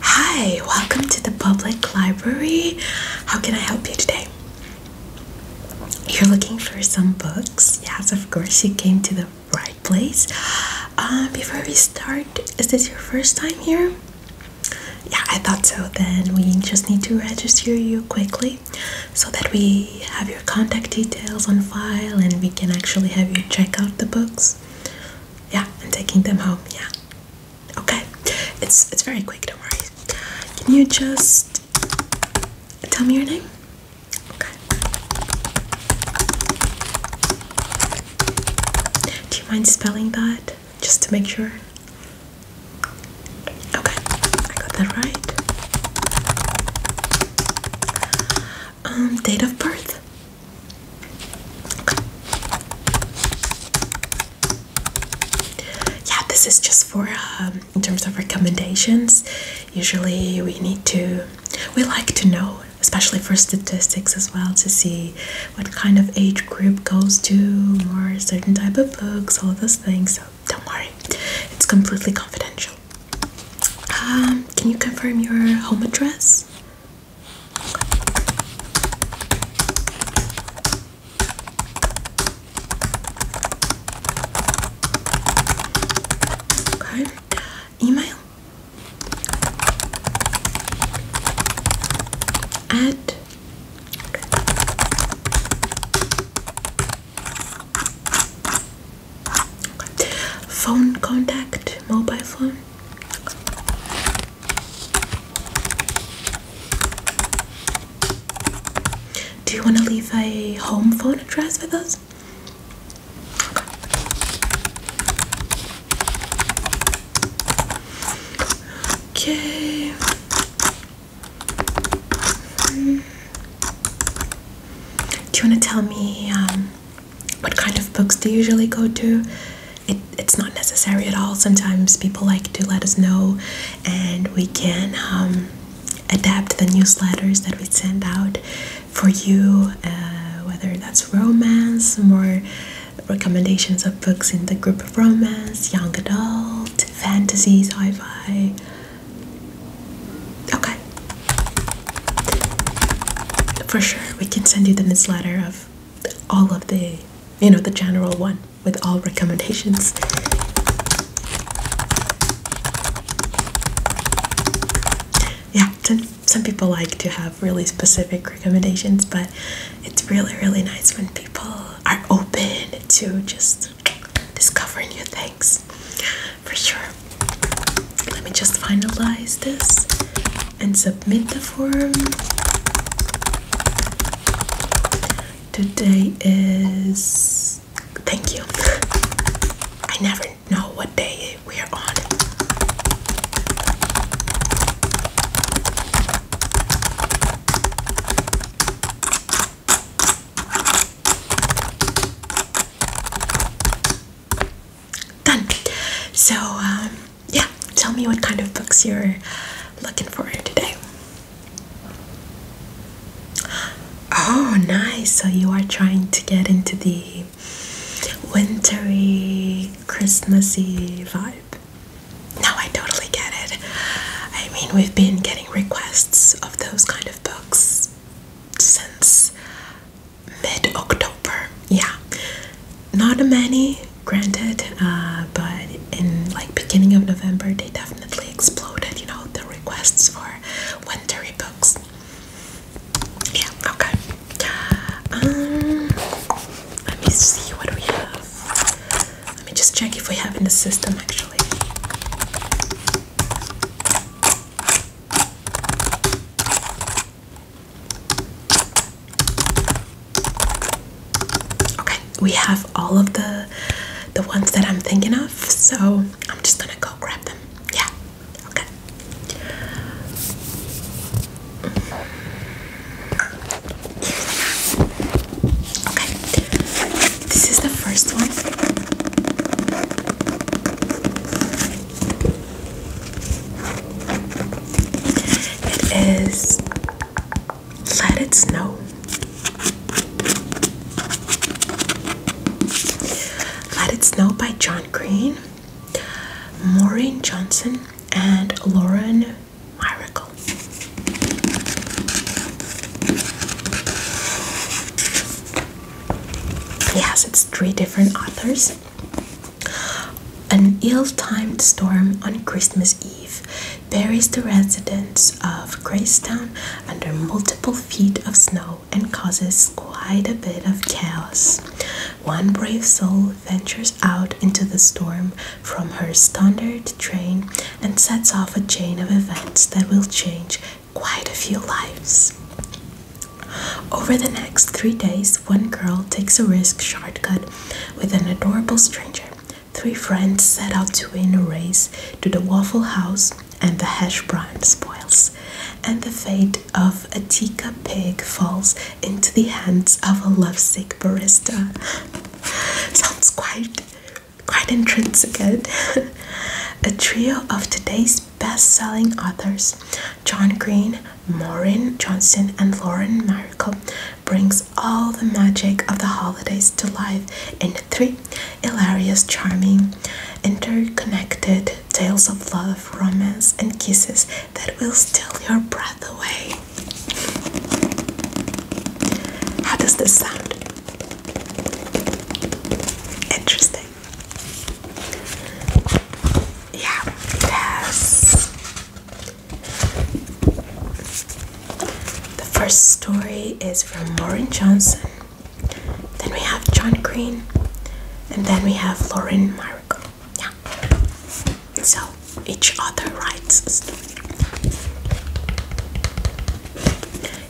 Hi, welcome to the public library. How can I help you today? You're looking for some books? Yes, of course, you came to the right place. Uh, before we start, is this your first time here? Yeah, I thought so. Then we just need to register you quickly so that we have your contact details on file and we can actually have you check out the books yeah and taking them home yeah okay it's it's very quick don't worry can you just tell me your name okay do you mind spelling that just to make sure okay I got that right um, date of birth. Yeah, this is just for um, in terms of recommendations. Usually, we need to, we like to know, especially for statistics as well, to see what kind of age group goes to more certain type of books, all those things. So, don't worry, it's completely confidential. Um, can you confirm your home address? Card, email at Phone contact, mobile phone. Do you want to leave a home phone address with us? Okay. Hmm. Do you want to tell me um, what kind of books do you usually go to? It, it's not necessary at all. Sometimes people like to let us know, and we can um, adapt the newsletters that we send out for you, uh, whether that's romance, more recommendations of books in the group of romance, young adult, fantasy, sci fi. Okay, for sure we can send you the newsletter of all of the you know the general one with all recommendations yeah some, some people like to have really specific recommendations but it's really really nice when people are open to just discovering new things for sure. Let me just finalize this and submit the form. Today is. Thank you. I never know what day we are on done. So, um, yeah, tell me what kind of books you're looking for today. Oh, nice. So, you are trying to get into the wintry, Christmassy vibe. No, I totally get it. I mean, we've been getting requests of those kind of books since mid-October. Yeah, not many, granted, uh, but in like beginning of November they definitely exploded. You know the requests for wintery books. Yeah. Okay. Um, let me see what we have. Let me just check if we have in the system actually. Okay, we have all of the the ones that I'm thinking of, so I'm just gonna go grab them. Yeah, okay. Okay, this is the first one. It is Let It Snow. Let It Snow by John Green, Maureen Johnson, and Lauren Miracle. Yes, it's three different authors. An ill-timed storm on Christmas Eve buries the residents of Gracetown under multiple feet of snow and causes quite a bit of chaos. One brave soul ventures out into the storm from her standard train and sets off a chain of events that will change quite a few lives. Over the next three days, one girl takes a risk shortcut with an adorable stranger. Three friends set out to win a race to the Waffle House and the hash brown spoils, and the fate of a Tika pig falls into the hands of a lovesick barista. Sounds quite quite intrinsic eh? a trio of today's best-selling authors, John Green, Maureen Johnson, and Lauren Miracle, brings all the magic of the holidays to life in three hilarious, charming, interconnected tales of love, romance, and kisses that will steal your breath away. How does this sound? Interesting. Yeah, it the first story is from Lauren Johnson. Then we have John Green, and then we have Lauren Miracle. Yeah. So each author writes a story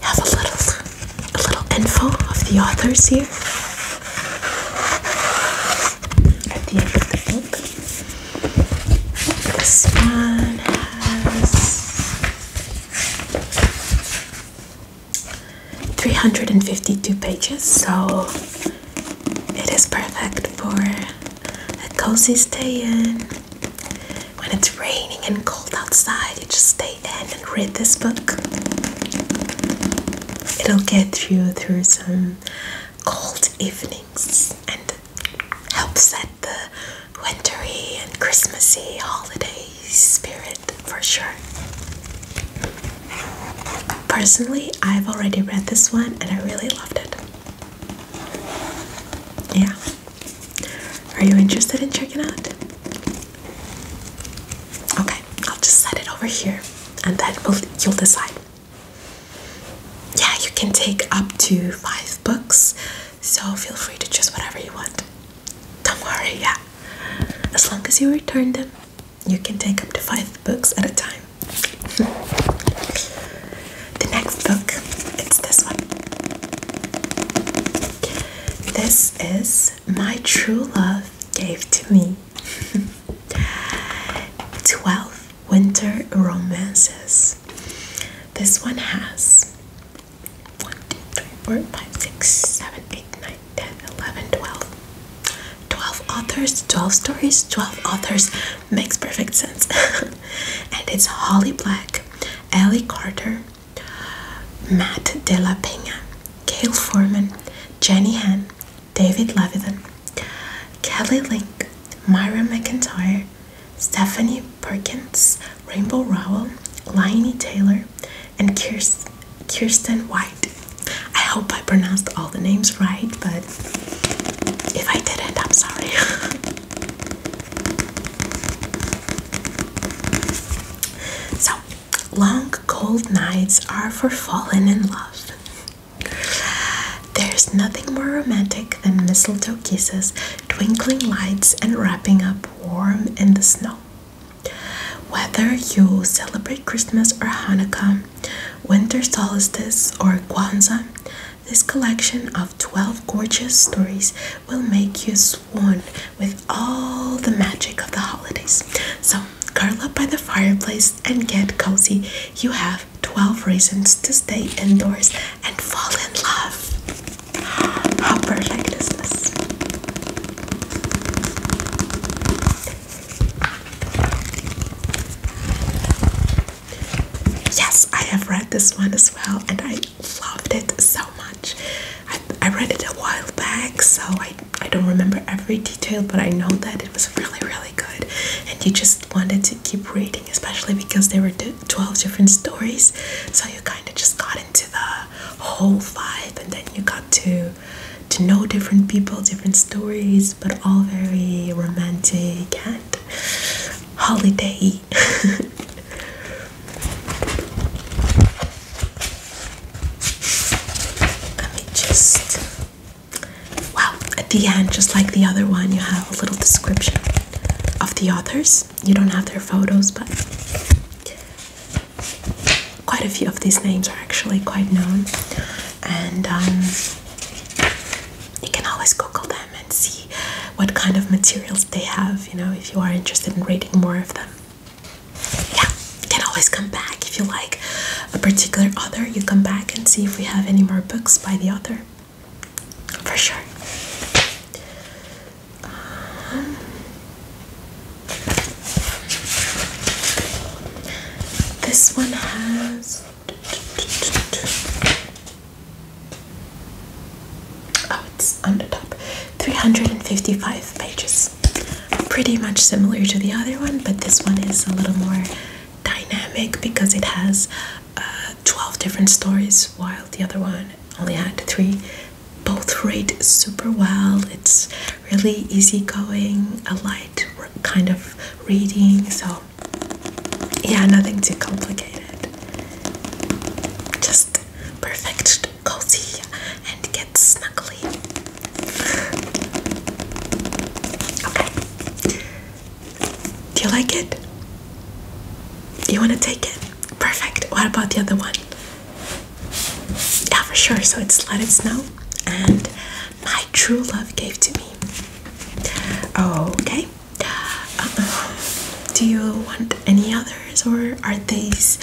have a little a little info of the authors here at the end of the book. This one has 352 pages, so it is perfect for a cozy stay in when it's raining and cold outside, you just stay in and read this book. It'll get you through some cold evenings and help set the wintry and Christmassy holiday spirit for sure. Personally, I've already read this one and I really loved it. Yeah, are you interested in checking out? Okay, I'll just set it over here and then you'll decide. Yeah, you can take up to five books, so feel free to choose whatever you want. Don't worry, yeah. As long as you return them, you can take up to five books at a time. The next book, it's this one. This is My True Love Gave to Me 12 Winter Romances. This one has 1, 12 authors, 12 stories, 12 authors makes perfect sense. and it's Holly Black, Ellie Carter, Matt De La Pena, Gail Forman, Jenny Han, David Levitan, Kelly Link, Myra McIntyre, Stephanie Perkins, Rainbow Rowell, Liney Taylor, and Kirsten White. I hope I pronounced all the names right, but if I didn't, I'm sorry. So, long cold nights are for falling in love. There's nothing more romantic than mistletoe kisses, twinkling lights, and wrapping up warm in the snow. Whether you celebrate Christmas or Hanukkah, winter solstice or Kwanzaa, this collection of 12 gorgeous stories will make you swoon with all the magic of the holidays. So, curl up by the fireplace and get cozy. You have 12 reasons to stay indoors and fall in love. How perfect is this? Yes, I have read this one as well, and I loved it so much. I, I read it a while back, so I, I don't remember every detail, but I know that it was really, really good. And you just wanted to keep reading, especially because there were 12 different stories, so you kind of just got into the whole vibe, and then you got to to know different people, different stories, but all very romantic holiday. Let me just. Wow, at the end, just like the other one, you have a little description of the authors. You don't have their photos, but quite a few of these names are actually quite known. And um, you can always Google them and see what kind of materials they have, you know, if you are interested in reading more of them. Yeah, you can always come back if you like a particular author, you come back and see if we have any more books by the author. For sure. Um, this one has Oh, it's on the top. 355 pages. Pretty much similar to the other one, but this one is a little more dynamic because it has uh, 12 different stories while the other one only had three. Both rate super well. It's really easygoing, a light kind of reading, so yeah, nothing too complicated. Just perfect, cozy, and get snuggly. okay. Do you like it? You want to take it? Perfect. What about the other one? Yeah, for sure. So it's Let It Snow, and My True Love gave to me. Oh, okay. Uh, do you want any others, or are these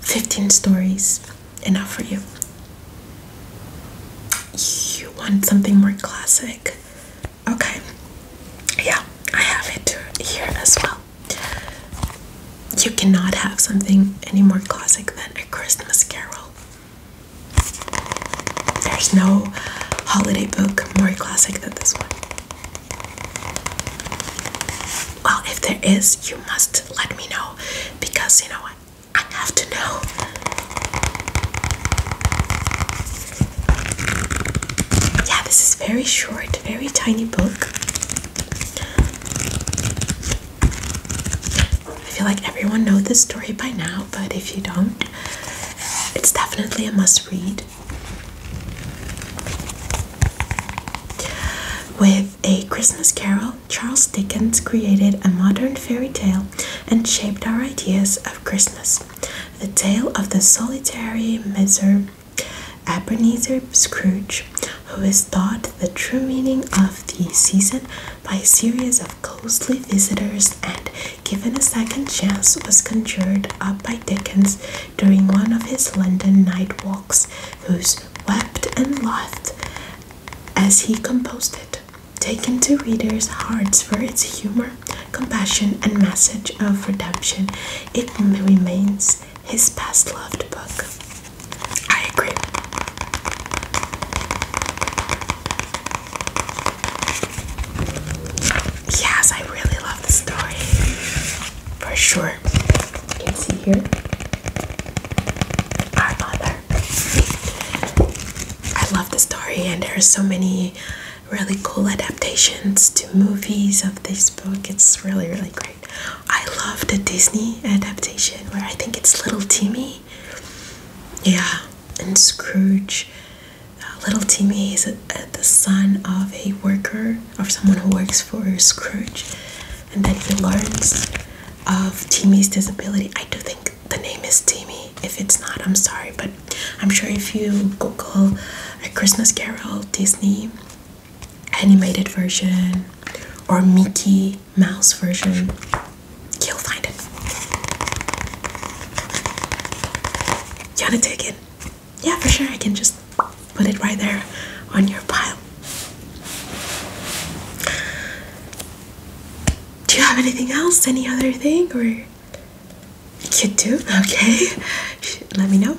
15 stories enough for you? You want something more classic? Okay. Yeah, I have it here as well. You cannot have something any more classic than a Christmas Carol. There's no holiday book more classic than this one. Well, if there is, you must let me know because you know I have to know. Yeah, this is very short, very tiny book. I feel like everyone knows this story by now, but if you don't, it's definitely a must read. With A Christmas Carol, Charles Dickens created a modern fairy tale and shaped our ideas of Christmas. The tale of the solitary miser Ebenezer Scrooge, who is taught the true meaning of the season by a series of ghostly visitors and, given a second chance, was conjured up by Dickens during one of his London night walks, whose wept and laughed as he composed it, taken to readers' hearts for its humor, compassion, and message of redemption. It remains his best loved book. I agree. Yes, I really love the story. For sure. You can see here our mother. I love the story, and there are so many really cool adaptations to movies of this book. It's really, really great. I love the Disney adaptation where I think it's Little Timmy yeah, and Scrooge, little Timmy is the son of a worker, of someone who works for Scrooge, and then he learns of Timmy's disability. I do think the name is Timmy. If it's not, I'm sorry, but I'm sure if you Google a Christmas Carol Disney animated version or Mickey mouse version. You'll find it. You wanna take it? Yeah, for sure. I can just put it right there on your pile. Do you have anything else? Any other thing? Or you do? Okay. Let me know.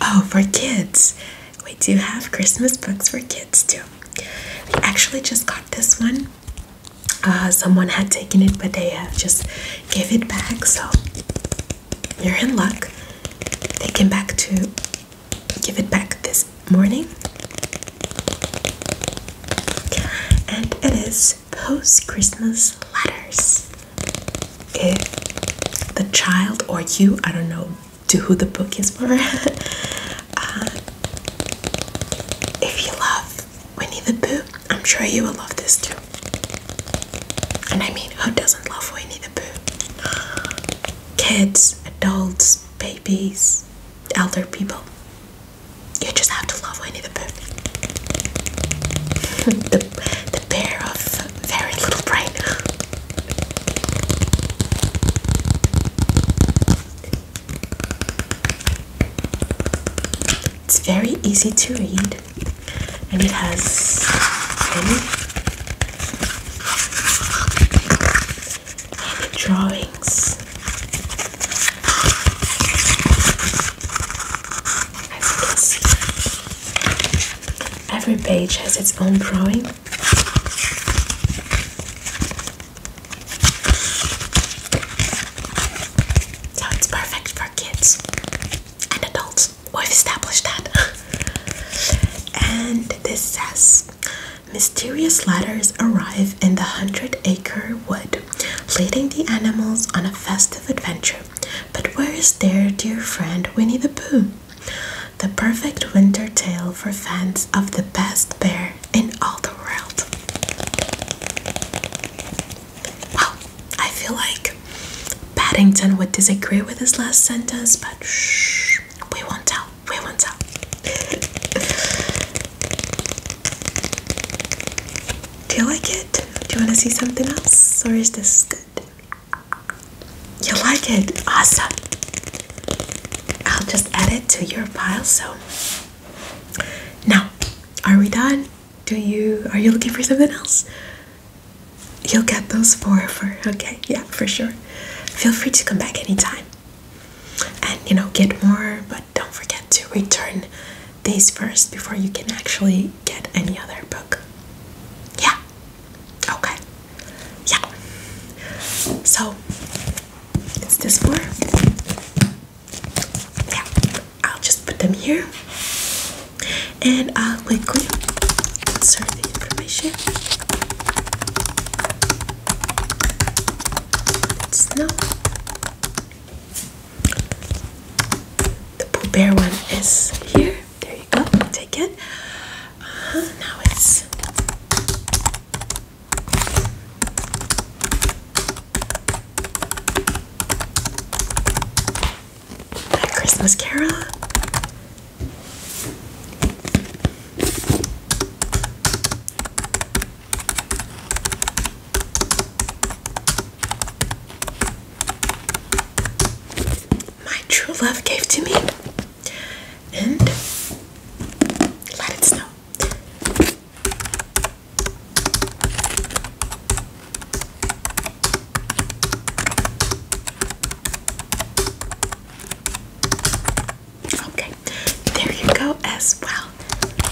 Oh, for kids. We do have Christmas books for kids too. We actually just got this one. Uh, someone had taken it, but they uh, just gave it back. So you're in luck. They came back to give it back this morning. And it is Post Christmas Letters. If the child or you, I don't know, to who the book is for. Uh, if you love Winnie the Pooh, I'm sure you will love this too. And I mean, who doesn't love Winnie the Pooh? Kids, adults, babies, elder people. You just have to love Winnie the Pooh. the, the bear of very little brain. It's very easy to read, and it has many, drawings. As you can see, every page has its own drawing so it's perfect for kids and adults. We've established that. and this says mysterious letters arrive in the hundred acre wood, leading the animals on a festive adventure. But where is their dear friend Winnie the Pooh? the perfect winter tale for fans of the best bear in all the world. Wow, I feel like Paddington would disagree with this last sentence, but shh, we won't tell, we won't tell. Do you like it? Do you want to see something else, or is this good? You like it? Awesome. I'll just add it to your pile. So now, are we done? Do you are you looking for something else? You'll get those four for okay, yeah, for sure. Feel free to come back anytime. And you know, get more, but don't forget to return these first before you can actually get any other book. Yeah. Okay. Yeah. So it's this one. Yeah. I'll just put them here. And I'll quickly insert the information. It's no. The Pooh Bear one is here. There you go. Take it. Uh-huh. now it's. That Christmas Carol. My true love gave to me and let it snow. Okay, there you go as well.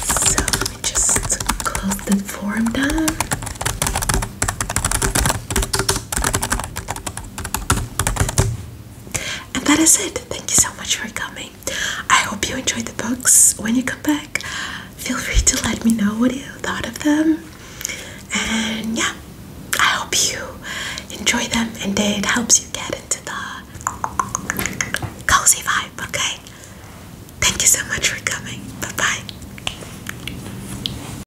So let me just close the form down. And that is it. Thank you so much for coming. I hope you enjoyed the books. When you come back, feel free to let me know what you thought of them. And yeah, I hope you enjoy them and it helps you get into the cozy vibe, okay? Thank you so much for coming. Bye bye.